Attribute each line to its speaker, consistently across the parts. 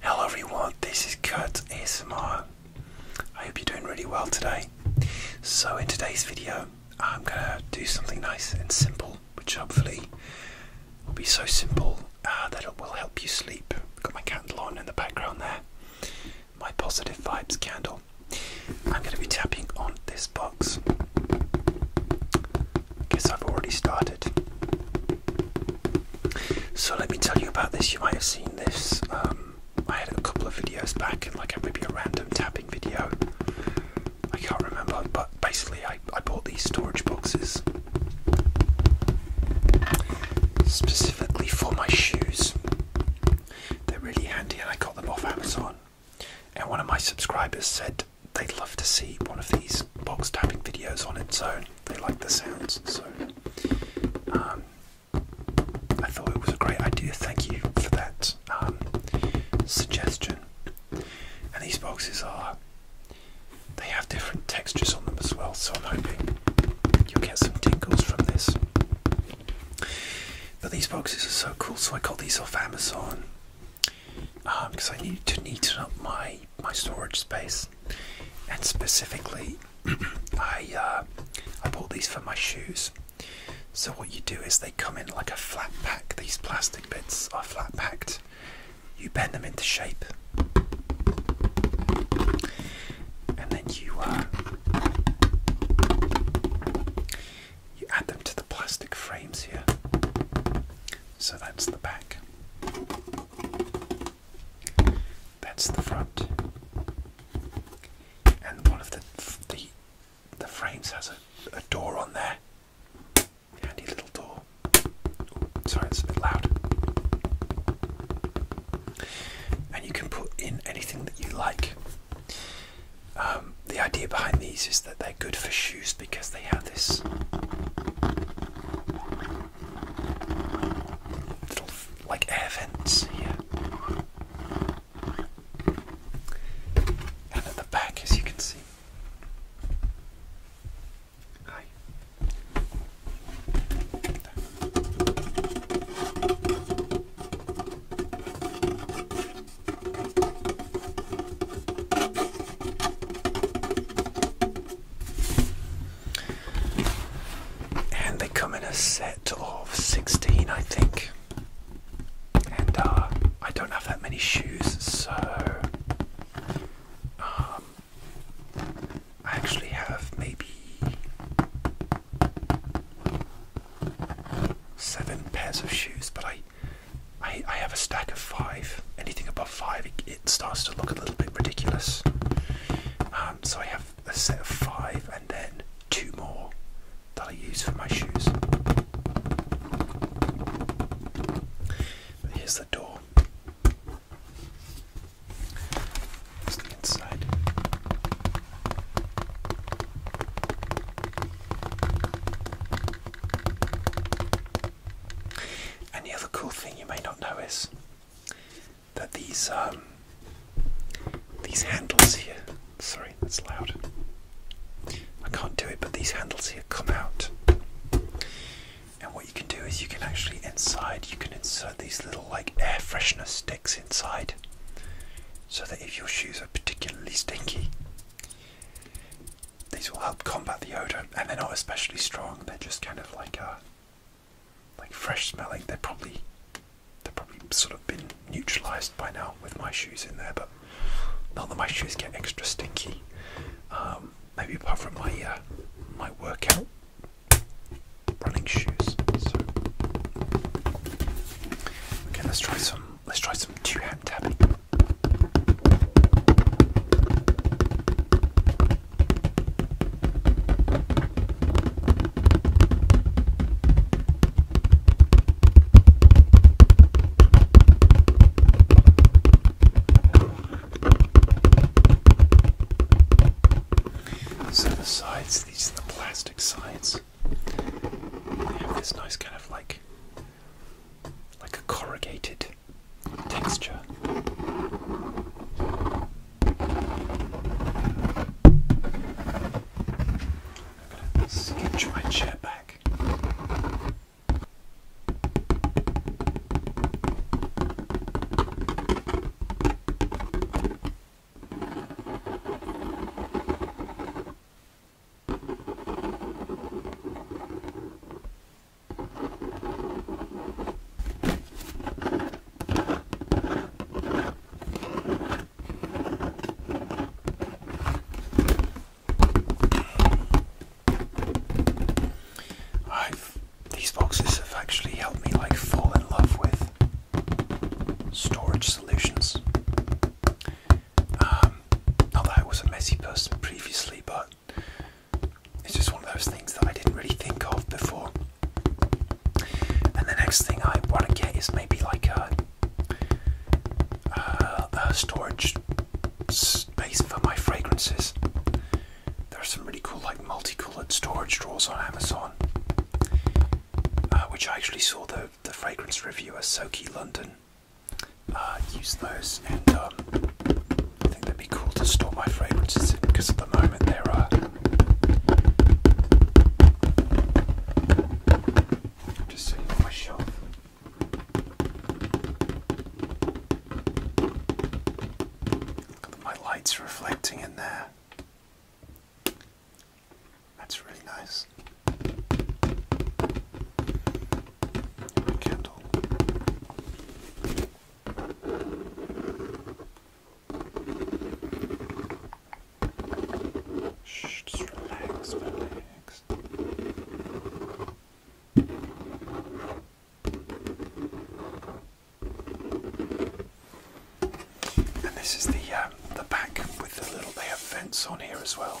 Speaker 1: Hello everyone, this is Kurt ASMR. I hope you're doing really well today. So in today's video, I'm gonna do something nice and simple, which hopefully will be so simple uh, that it will help you sleep. I've got my candle on in the background there, my positive vibes candle. I'm gonna be tapping on this box. I guess I've already started. So let me tell you about this. You might have seen this. Um, I had a couple of videos back, and like maybe a random tapping video. I can't remember, but basically, I, I bought these storage boxes specifically for my shoes. They're really handy, and I got them off Amazon. And one of my subscribers said they'd love to see one of these box tapping videos on its own they like the sounds. So um, I thought it was a great idea. Thank you for that um, suggestion. And these boxes are, they have different textures on them as well. So I'm hoping you'll get some tingles from this. But these boxes are so cool. So I got these off Amazon because um, I needed to neaten up my my storage space and specifically, I uh, I bought these for my shoes. So what you do is they come in like a flat pack. These plastic bits are flat packed. You bend them into shape, and then you uh, you add them to the plastic frames here. So that's the back. That's the front, and one of the the the frames has a, a door on there. Handy little door. sorry, it's a bit loud. And you can put in anything that you like. Um, the idea behind these is that they're good for shoes because they have this little like air vents here. And at the back, as you can see. Hi. And they come in a set of 16, I think. And uh, I don't have that many shoes, so um, I actually have maybe seven pairs of shoes, but I, I, I have a stack of five. Anything above five, it starts to look a little bit ridiculous. Um, so I have a set of five and then two more that I use for my shoes. But here's the door. Here's the inside. And other cool thing you may not know is that these um, these handles here, sorry, that's loud. I can't do it, but these handles here come out. And what you can do is you can actually inside you can insert these little like air freshener sticks inside so that if your shoes are particularly stinky these will help combat the odor and they're not especially strong they're just kind of like a like fresh smelling. They're probably they've probably sort of been neutralized by now with my shoes in there, but not that my shoes get extra stinky. Um, maybe apart from my uh, my workout running shoes. okay, let's try some let's try some two hand tapping. So the sides, these are the plastic sides. They have this nice kind of like like a corrugated texture gonna sketch my chair back. I've, these boxes have actually helped me like fall in love with storage solutions. Um, not I was a messy person previously, but it's just one of those things that I didn't really think of before. And the next thing I want to get is maybe like uh, a, storage space for my fragrances. There are some really cool, like multi-coloured storage drawers on Amazon, uh, which I actually saw the the fragrance reviewer Soki London uh, use those, and um, I think they'd cool to store my fragrances in because at the moment there are I'm just sitting my shelf. my lights reflecting in there. That's really nice. candle. Shh, just relax, relax. And this is the um, the back with the little they have vents on here as well.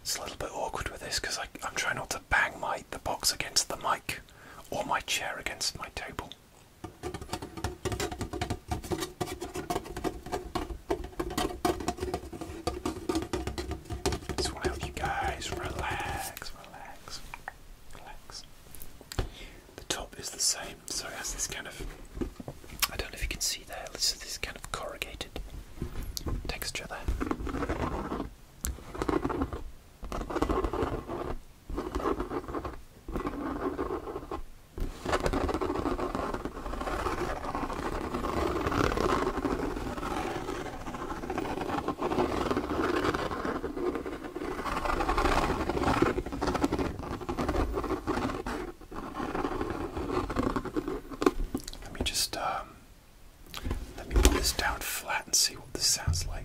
Speaker 1: It's a little bit awkward with this because I'm trying not to bang my the box against the mic or my chair against my table. Just want you guys relax, relax, relax. The top is the same, so it has this kind of I don't know if you can see there. This is this kind of corrugated texture there. Let me just um, let me put this down flat and see what this sounds like.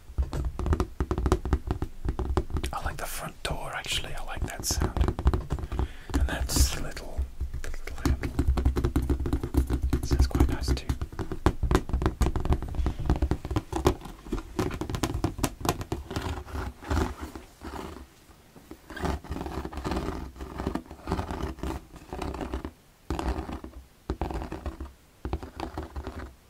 Speaker 1: I like the front door actually, I like that sound. And that's little, little handle. So quite nice too.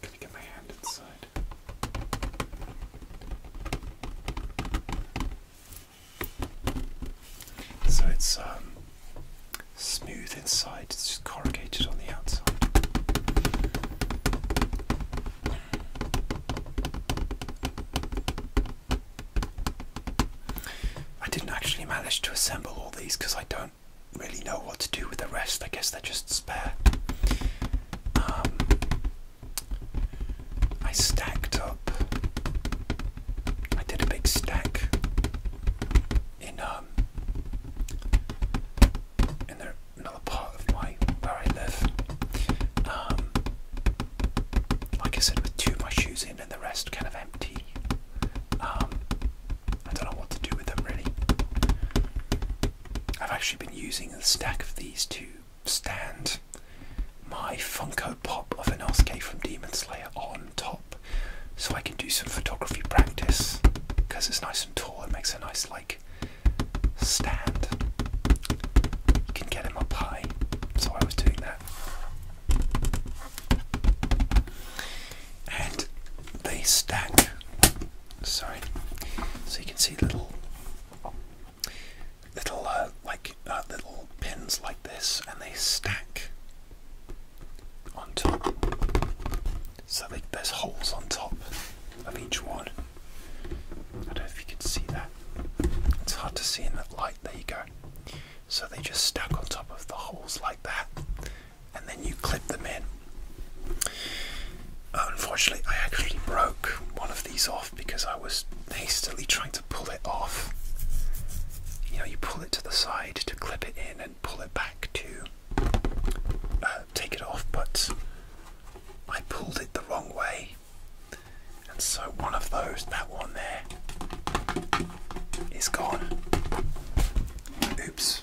Speaker 1: Gotta get my hand inside. So it's um, smooth inside, it's just corrugated on the outside. I didn't actually manage to assemble all these because I don't do really know what to do with the rest. I guess they're just spare. Um, I stacked up. I did a big stack in um in the, another part of my where I live. Um, like I said, with two of my shoes in and the rest kind of empty. Um, I don't know what to do with them really. I've actually been using the stack of these to stand my Funko Pop of Inosuke from Demon Slayer on top so I can do some photography practice because it's nice and tall, it makes a nice like stand. You can get him up high, so I was doing that and they stack. Sorry, so you can see little, little uh, like uh, little pins like this, and they stack on top. So they, there's holes on top of each one. I don't know if you can see that. It's hard to see in that light. There you go. So they just stack on top of the holes like that and then you clip them in. Unfortunately, I actually broke one of these off because I was hastily trying to pull it off. You know, you pull it to the side to clip it in and pull it back to uh, take it off, but I pulled it the wrong way. And so one of those, that one there, is gone. Oops.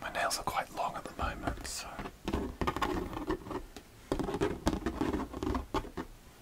Speaker 1: My nails are quite long at the moment, so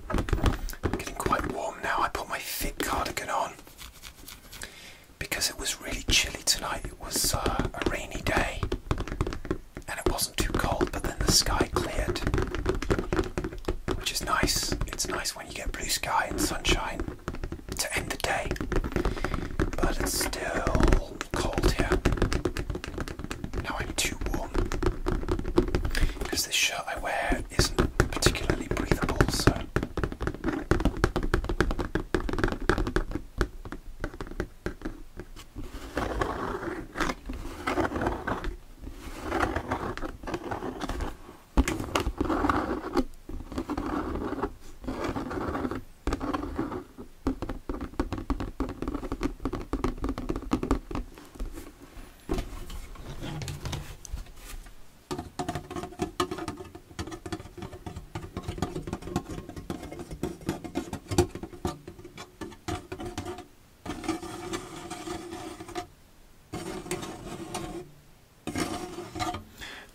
Speaker 1: i getting quite warm now. I put my thick cardigan on because it was really chilly tonight. It was uh, a rainy day and it wasn't too cold, but then the sky cleared, which is nice. It's nice when you get blue sky and sunshine to end the day, but it's still cold, here. Now I'm too warm. Because this shirt I wear isn't particularly breathable, so.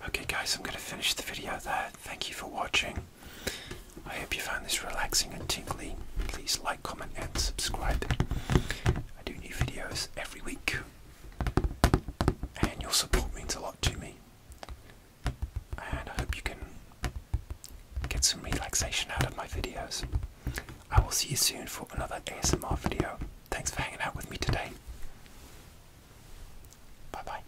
Speaker 1: Okay guys, I'm going to finish the video there. Thank you for watching. I hope you found this relaxing and tingly. Please like, comment, and subscribe. I do new videos every week, and your support means a lot to me. And I hope you can get some relaxation out of my videos. I will see you soon for another ASMR video. Thanks for hanging out with me today. Bye bye.